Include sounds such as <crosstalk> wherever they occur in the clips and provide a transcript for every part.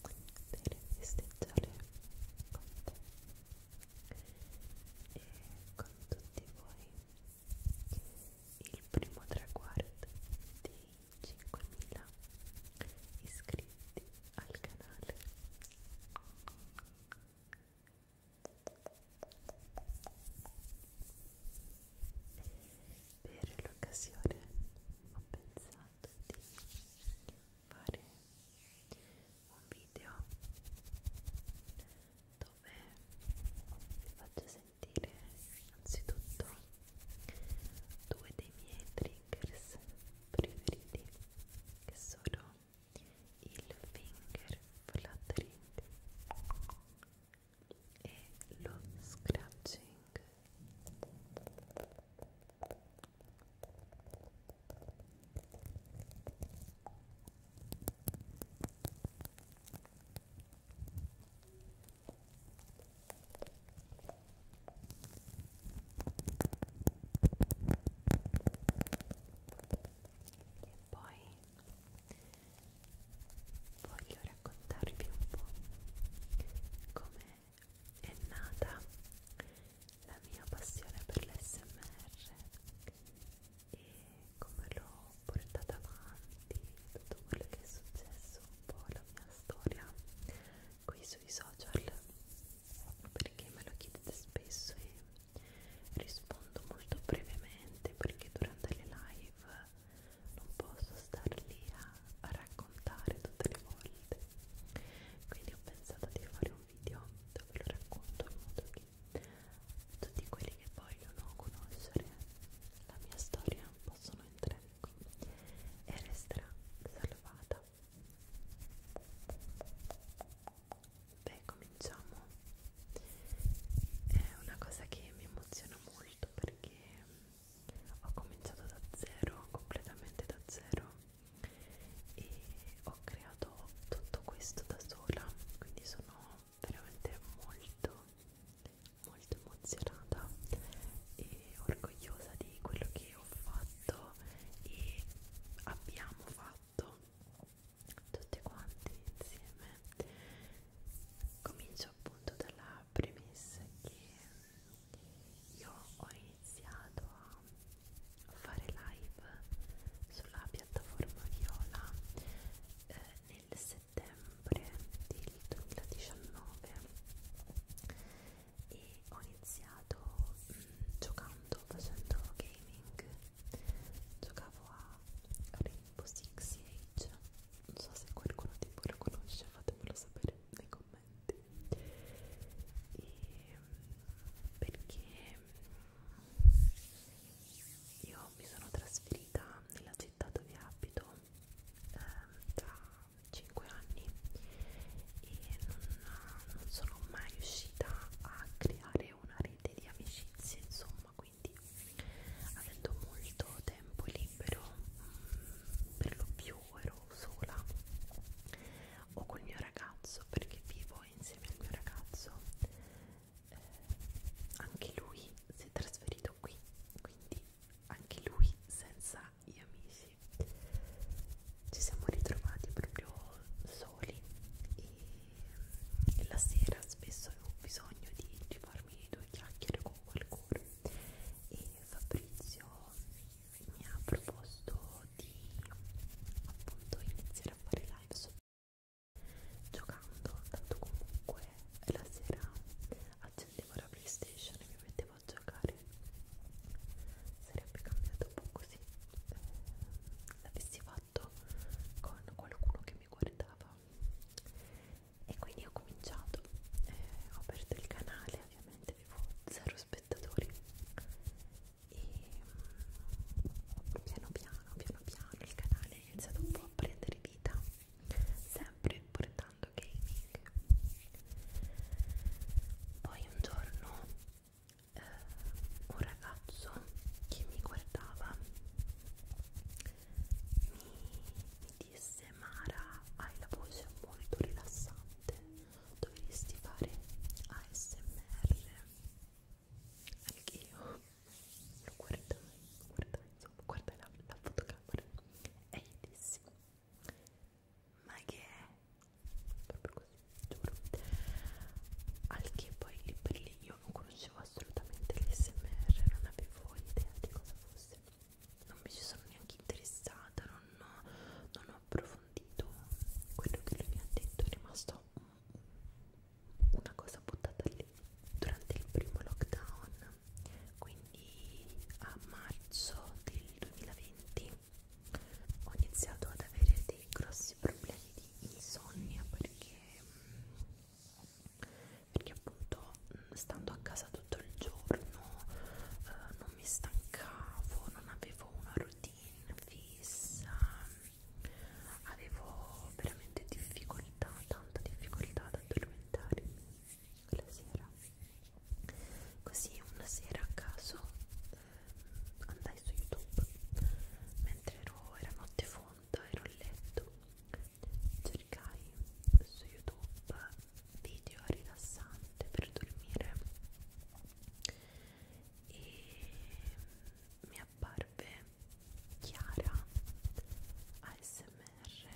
qui per festeggiare con te e con tutti voi il primo traguardo dei 5.000 iscritti al canale per l'occasione ho pensato di fare un video dove vi faccio sentire anzitutto due dei miei triggers preferiti che sono il finger fluttering e lo scratching e poi voglio raccontarvi un po' come è nata la mia passione per l'SMR e come l'ho portata avanti, tutto quello che è successo, un po' la mia storia qui sui social perché me lo chiedete spesso e rispondo molto brevemente perché durante le live non posso star lì a, a raccontare tutte le volte quindi ho pensato di fare un video dove lo racconto in modo che tutti quelli che vogliono conoscere la mia storia possono entrare qui e resterà salvata beh cominciamo è una cosa che mi emoziona molto perché ho cominciato da zero, completamente da zero e ho creato tutto questo da sola, quindi sono veramente molto molto emozionata e orgogliosa di quello che ho fatto e abbiamo fatto tutti quanti insieme comincio appunto dalla premessa che io ho iniziato a fare live sulla piattaforma Viola eh, nel settembre del 2019 e ho iniziato mh, mm, giocando, facendo gaming giocavo a Rainbow Six Siege non so se qualcuno di voi lo conosce, fatemelo sapere nei commenti commenti e perché io mi sono trasferita nella città dove abito eh, da 5 anni e non, non sono mai riuscita a creare una rete di amicizie insomma quindi avendo molto tempo libero mh, mm, per lo più io ero sola o col mio ragazzo perché vivo insieme al mio ragazzo eh, anche lui si è trasferito qui quindi anche lui senza gli amici ci siamo ritrovati proprio soli e la sera spesso avevo bisogno di, di farmi due chiacchiere con qualcuno e Fabrizio mi ha proposto di appunto iniziare a fare live su giocando tanto comunque la sera accendevo la playstation e mi mettevo a giocare sarebbe cambiato un po' così ehm, l'avessi fatto con qualcuno che mi guardava e quindi ho cominciato eh, ho aperto il canale ovviamente avevo zero spettatori e mm, piano piano piano piano il canale è iniziato un po' a prendere vita sempre portando gaming poi un giorno eh, un ragazzo che mi guardava mi, mi disse Mara hai la voce molto rilassante dovresti fare ASMR anche io lo guardai guardai insomma guardai la, la fotocamera e gli dissi ma che è? proprio così giuro al che poi lì per lì io non conoscevo assolutamente l'SMR non avevo idea di cosa fosse non mi ci sono neanche interessata, non, non ho approfondito quello che lui mi ha detto, è rimasto una cosa buttata lì durante il primo lockdown, quindi a marzo del 2020 ho iniziato ad avere dei grossi problemi di insonnia perché perché appunto stando a casa tutto il giorno eh, non mi stancavo, non avevo una routine fissa, avevo veramente difficoltà, tanta difficoltà ad addormentarmi la sera. Così una sera a caso eh, andai su YouTube mentre ero, era notte fonda, ero a letto cercai su youtube video rilassante per dormire e mi apparve Chiara ASMR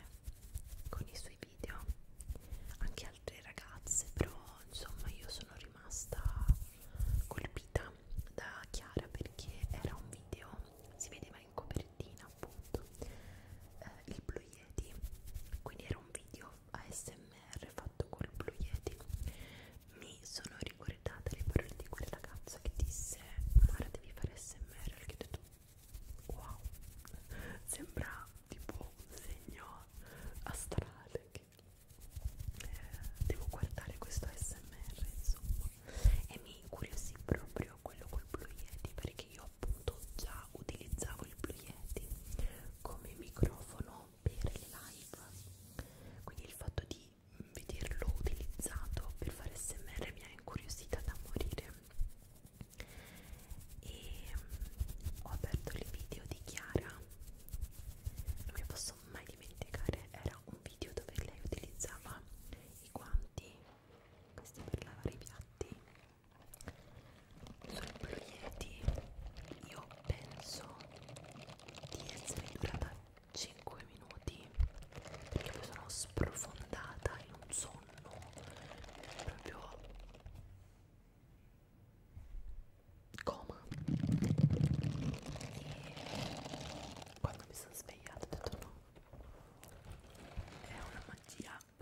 con i suoi video anche altre ragazze però insomma io sono rimasta colpita da Chiara perché era un video si vedeva in copertina copertina appunto eh, il Blue Yeti quindi era un video ASMR fatto col Blue Yeti mi sono ricordata le parole di quella ragazza che disse Mara devi fare ASMR perché ho detto wow sembra tipo un segno astrale che eh, devo guardare questo ASMR insomma e mi incuriosì proprio quello col Blue Yeti perché io io appunto già utilizzavo il Blue Yeti come microfono per le live quindi il fatto di vederlo utilizzato per fare smr mi ha incuriosita da morire e mm, ho aperto il video di Chiara non mi posso mai dimenticare era un video dove lei utilizzava i guanti questo è per lavare i piatti sul Blue Yeti io penso di essere durata 5 minuti perché mi sono sprofondata in un sonno proprio coma e quando mi sono svegliata ho detto no è una magia <laughs>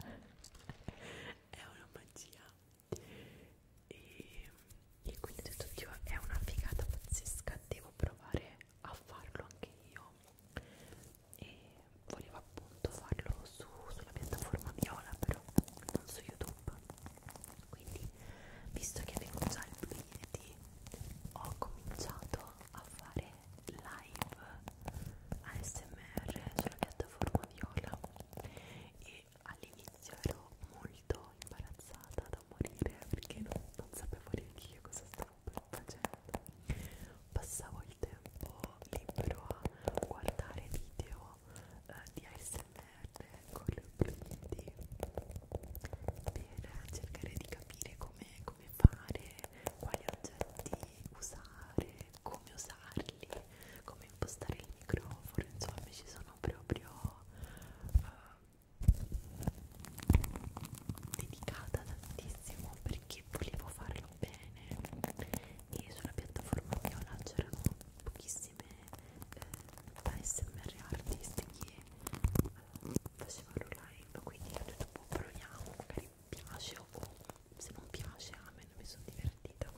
è una magia e, e quindi ho detto Dio è una figata pazzesca devo provare a farlo anche io e volevo appunto farlo su, sulla piattaforma viola però non su youtube quindi visto che avevo già i biglietti ho cominciato a fare live ASMR sulla piattaforma Viola e all'inizio ero molto imbarazzata da morire perché non, non sapevo neanche io cosa stavo facendo passavo il tempo libero a guardare video eh, di ASMR con le obiettivi per cercare di capire come, come fare quali oggetti usare, come usarli, come impostare il microfono, insomma ci sono proprio uh, dedicata tantissimo perché volevo farlo bene e sulla piattaforma viola c'erano pochissime eh, ASMR artisti che eh, facevano live quindi ho detto boh proviamo magari piace o se non piace a me non mi sono divertita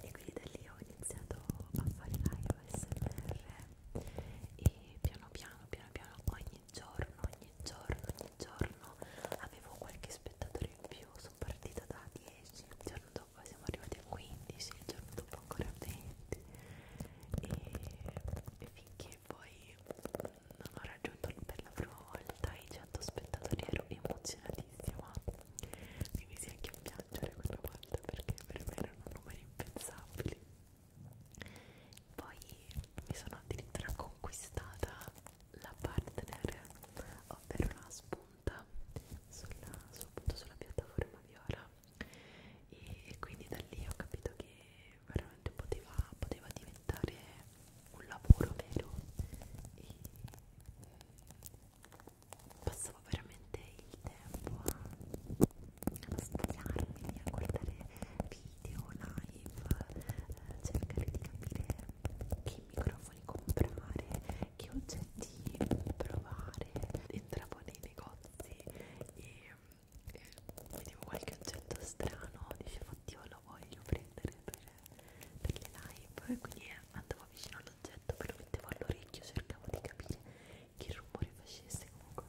e quindi da lì ho iniziato a fare live smr e piano piano piano piano ogni giorno ogni giorno ogni giorno avevo qualche spettatore in più sono partita da 10 il giorno dopo siamo arrivati a 15 il giorno dopo ancora a 20 e, e finché che poi mm, non ho raggiunto per la prima volta i 100 spettatori ero emozionatissima mi misi anche a piangere quella volta perché per me erano numeri impensabili poi mi sono addirittura conquistata la partner ovvero la spunta sulla, appunto sulla piattaforma viola e quindi da lì ho capito che veramente poteva, poteva diventare un lavoro vero e passavo veramente il tempo a studiarmi, a guardare video, live, a eh, cercare di capire che microfoni comprare, che oggetti provare, entravo nei negozi e eh, vedevo qualche oggetto strano dicevo oddio lo voglio prendere per, per le live e quindi eh, andavo vicino all'oggetto però mettevo all'orecchio cercavo di capire che rumore facesse comunque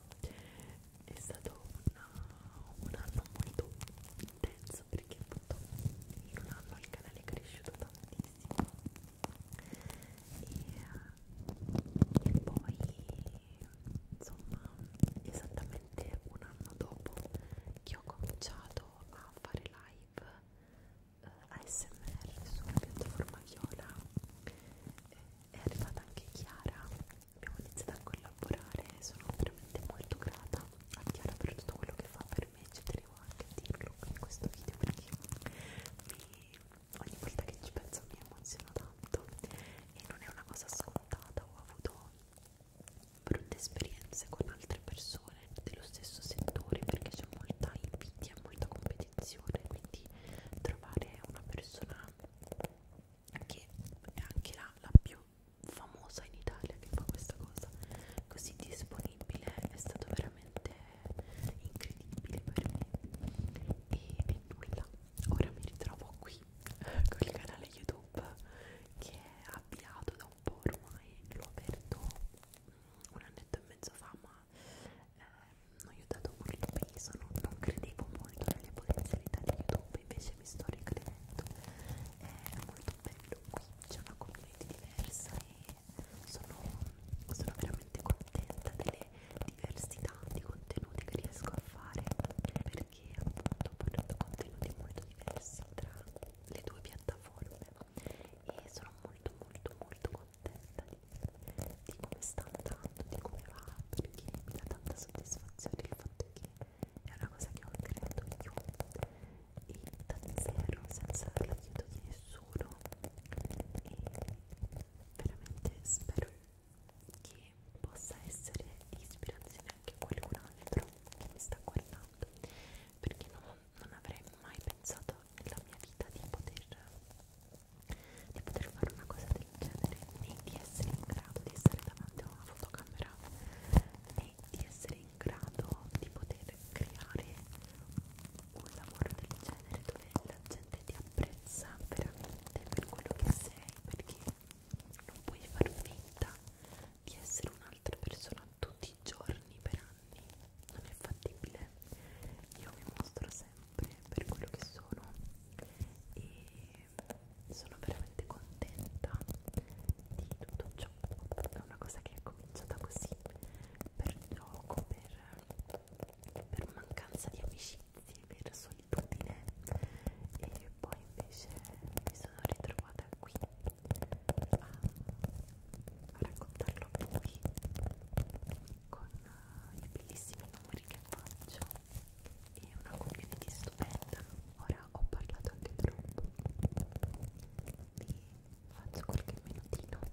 è stato una, un anno molto intenso perché appunto in un anno il canale è cresciuto tantissimo e, e poi insomma esattamente un anno dopo che ho cominciato a fare live eh, ASMR sulla piattaforma Viola eh, è arrivata anche Chiara abbiamo iniziato a collaborare sono veramente molto grata a Chiara per tutto quello che fa per me ci tenevo anche a dirlo in questo video perché mi ogni volta che ci penso mi emoziono tanto e non è una cosa scontata, ho avuto brutte esperienze con altre persone dello stesso settore perché c'è molta invidia, molta competizione, quindi trovare una persona che è anche la, la più famosa in Italia che fa questa cosa così disponibile è stato veramente incredibile per me e, e nulla ora mi ritrovo qui eh, con il canale YouTube che è avviato da un po' ormai, l'ho aperto mm, un annetto e mezzo fa ma eh, non gli ho dato molto peso, non, non credevo molto nelle potenzialità di YouTube, invece mi sto ricredendo, è molto bello qui, c'è una community diversa e sono, sono veramente contenta delle diversità di contenuti che riesco a fare perché appunto ho portato contenuti molto diversi tra le due piattaforme e sono molto molto molto contenta di, di come sta andando, di come va perché mi dà tanta soddisfazione il fatto che è una cosa che ho creato io e da zero senza l'aiuto di nessuno e veramente spero che possa essere di ispirazione anche a qualcun altro che mi sta guardando perché non, non avrei mai pensato nella mia vita di poter, di poter fare una cosa del genere né di essere in grado di stare davanti a una fotocamera né di essere in grado di poter creare un lavoro del genere dove la gente gente ti apprezza veramente per quello che sei perché non puoi far finta di essere un'altra persona tutti i giorni per anni non è fattibile io mi mostro sempre per quello che sono e sono veramente contenta di tutto ciò è una cosa che è cominciata così per gioco per per mancanza di amicizie, per solitudine e poi invece mi sono ritrovata qui a, a raccontarlo a voi con eh, i bellissimi numeri che faccio e una community stupenda ora ho parlato anche troppo vi faccio qualche minutino